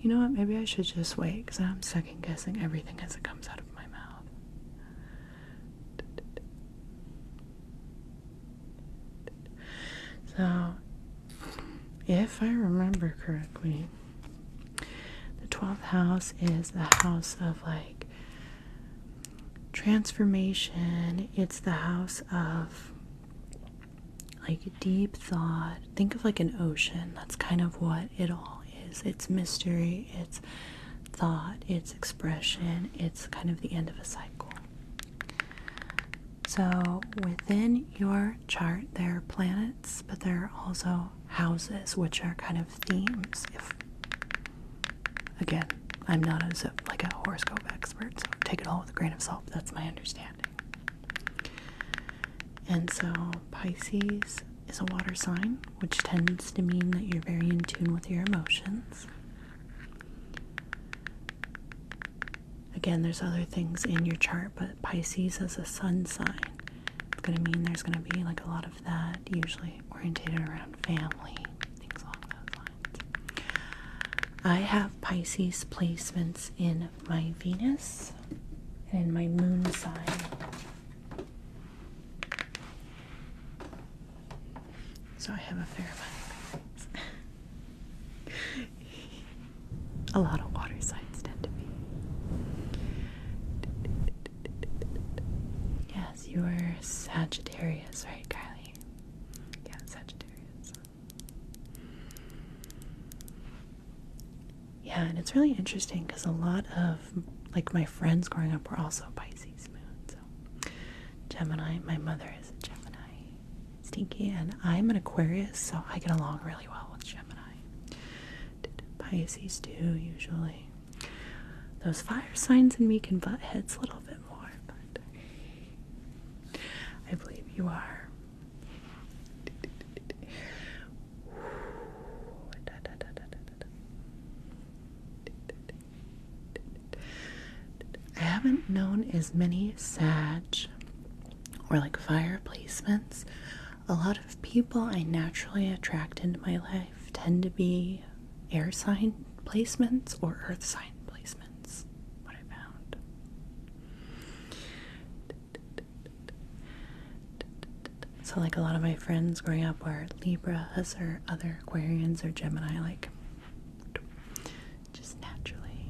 You know what? Maybe I should just wait because I'm second guessing everything as it comes out of my mouth. So, if I remember correctly, the 12th house is the house of like transformation it's the house of like deep thought think of like an ocean that's kind of what it all is it's mystery it's thought it's expression it's kind of the end of a cycle so within your chart there are planets but there are also houses which are kind of themes Again, I'm not like a horoscope expert, so take it all with a grain of salt. That's my understanding. And so Pisces is a water sign, which tends to mean that you're very in tune with your emotions. Again, there's other things in your chart, but Pisces as a sun sign, it's going to mean there's going to be like a lot of that, usually orientated around family, things along those lines. I have Pisces placements in my Venus and in my moon sign. So I have a fair amount of things. a lot of water signs tend to be. Yes, you are Sagittarius, right, Kyle? Yeah, and it's really interesting because a lot of like my friends growing up were also Pisces moon. So Gemini, my mother is a Gemini, stinky, and I'm an Aquarius, so I get along really well with Gemini. Pisces too, usually? Those fire signs in me can butt heads a little bit more, but I believe you are. I haven't known as many Sag or like fire placements. A lot of people I naturally attract into my life tend to be air sign placements or earth sign placements. What I found. So, like a lot of my friends growing up were Libras or other Aquarians or Gemini, like just naturally,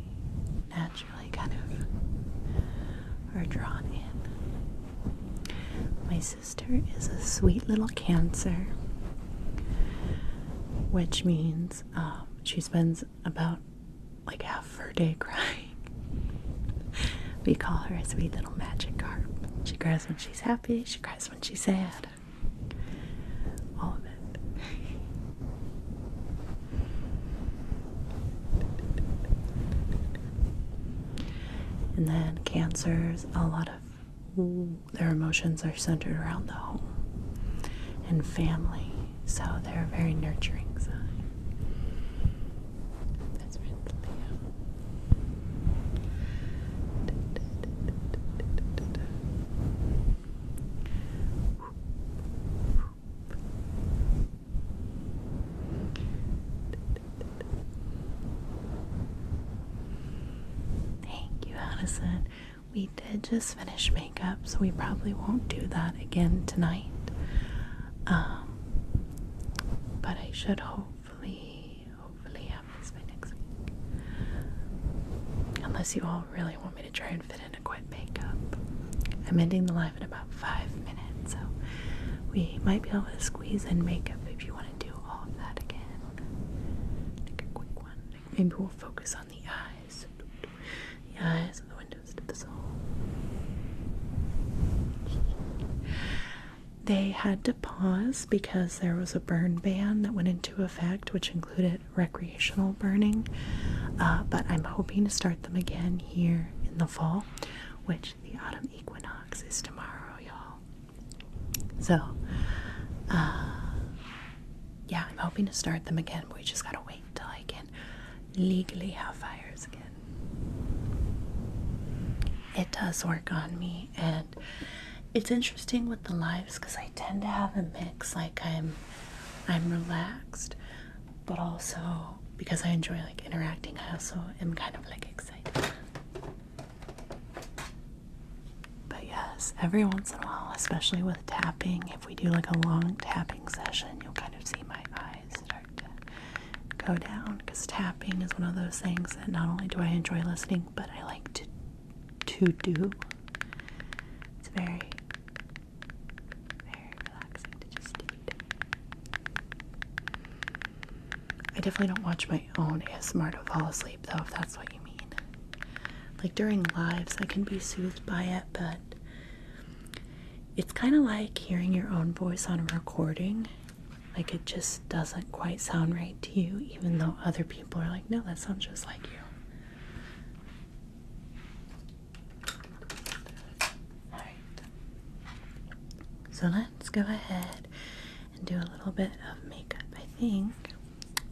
naturally kind of are drawn in. My sister is a sweet little Cancer which means um, she spends about like half her day crying. we call her a sweet little magic carp. She cries when she's happy, she cries when she's sad. All of it. and then cancers, a lot of their emotions are centered around the home and family, so they're very nurturing Thank you, Addison. We did just finish makeup, so we probably won't do that again tonight. Um, but I should hopefully, hopefully have this by next week. Unless you all really want me to try and fit in a quick makeup. I'm ending the live in about five minutes, so we might be able to squeeze in makeup if you want to do all of that again. Like a quick one. Maybe we'll focus on the eyes. The eyes and the windows to the They had to pause because there was a burn ban that went into effect, which included recreational burning. Uh, but I'm hoping to start them again here in the fall, which the autumn equinox is tomorrow, y'all. So, uh, yeah, I'm hoping to start them again, but we just gotta wait until I can legally have fires again. It does work on me, and it's interesting with the lives because I tend to have a mix. Like I'm, I'm relaxed, but also because I enjoy like interacting, I also am kind of like excited. But yes, every once in a while, especially with tapping, if we do like a long tapping session, you'll kind of see my eyes start to go down because tapping is one of those things that not only do I enjoy listening, but I like to to do. It's very very relaxing to just do I definitely don't watch my own ASMR to fall asleep though, if that's what you mean like during lives I can be soothed by it, but it's kind of like hearing your own voice on a recording. Like it just doesn't quite sound right to you, even though other people are like, no, that sounds just like you. So let's go ahead and do a little bit of makeup. I think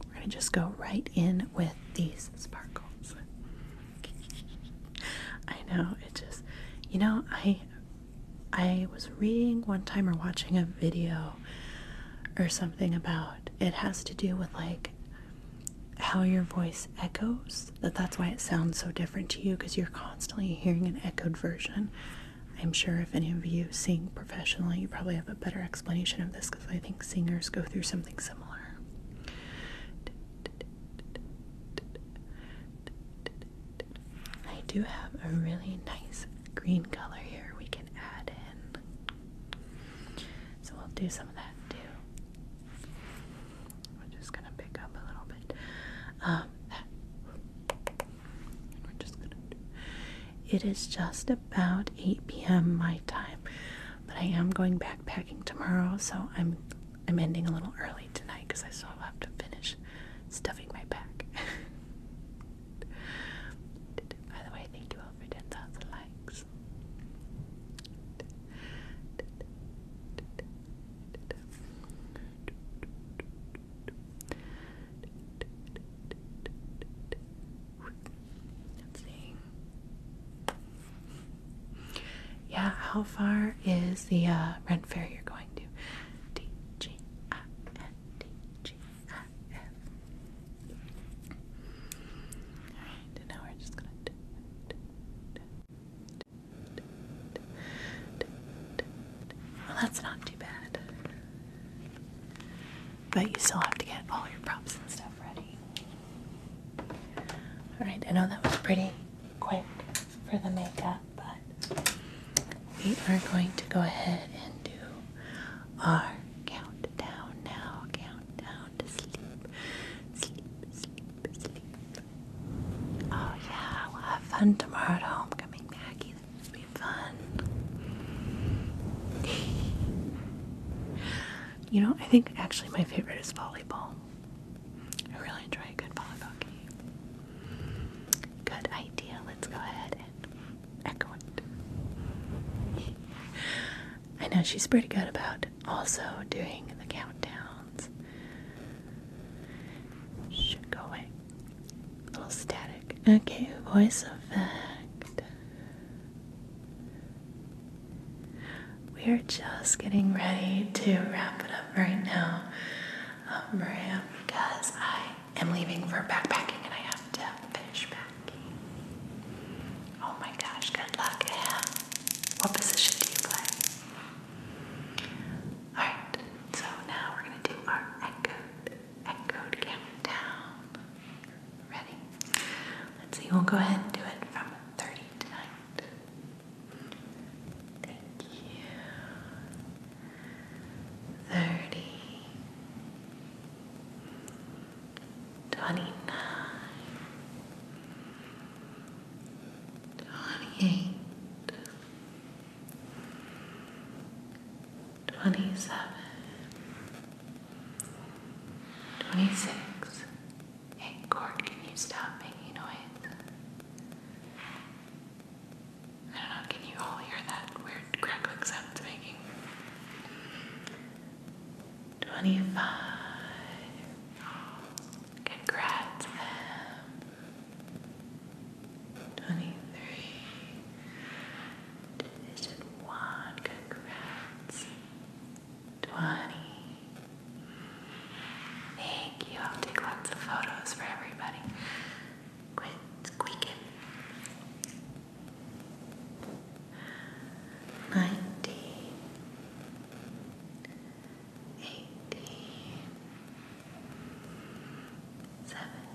we're going to just go right in with these sparkles. I know, it just, you know, I I was reading one time or watching a video or something about it has to do with like how your voice echoes that that's why it sounds so different to you because you're constantly hearing an echoed version I'm sure if any of you sing professionally, you probably have a better explanation of this because I think singers go through something similar. I do have a really nice green color here we can add in. So we'll do some of that too. We're just gonna pick up a little bit. Um, and we're just gonna it is just about 8 p.m. my time, but I am going backpacking tomorrow, so I'm I'm ending a little early tonight because I still have to finish stuffing my bag. By the way, thank you all for 10,000 likes. Yeah, how far is the Rent Fair you're going to? D G I F D G I F. Alright, and now we're just gonna Well, that's not too bad but you still have to get all your props and stuff ready. Alright, I know that was pretty quick for the makeup, but we are going to go ahead and do our countdown now. Countdown to sleep. Sleep, sleep, sleep. Oh, yeah, we'll have fun tomorrow at home. Maggie. It'll be fun. you know, I think actually my favorite is volleyball. I really enjoy a good volleyball game. Good idea. Let's go ahead and echo it. I know she's pretty good about also doing the countdowns. Should go away. little static. Okay, voice effect. We're just getting ready to wrap it up right now, um, Maria, because I am leaving for backpacking and I have to finish packing. Oh my gosh, good luck, What position do you play? Alright, so now we're going to do our echoed, echoed countdown. Ready? Let's see, we'll go ahead and do it from 30 tonight. Thank you. 30 29 27 26. Hey, Court, can you stop making noise? I don't know, can you all hear that weird crackling sound making? 25. Congrats, 23. Division one, congrats. Twenty. Thank you. I'll take lots of photos for everybody. Quit squeaking. Nineteen. Eighteen. Seventeen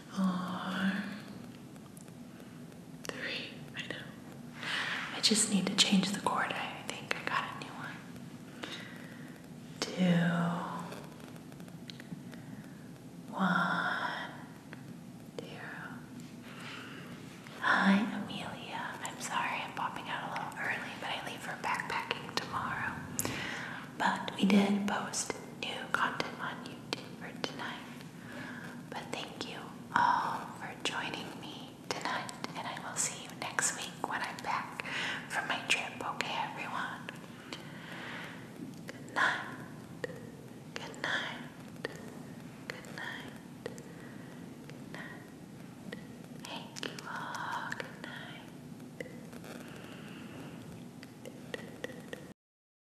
three. I know. I just need to change the chord. I think I got a new one. Two, one, zero. Hi, Amelia. I'm sorry I'm popping out a little early, but I leave for backpacking tomorrow. But we did post new content on YouTube for tonight. But thank you all for joining me tonight, and I will see you next week when I'm back from my trip, okay, everyone? Good night. Good night. Good night. Good night. Thank you all. Good night.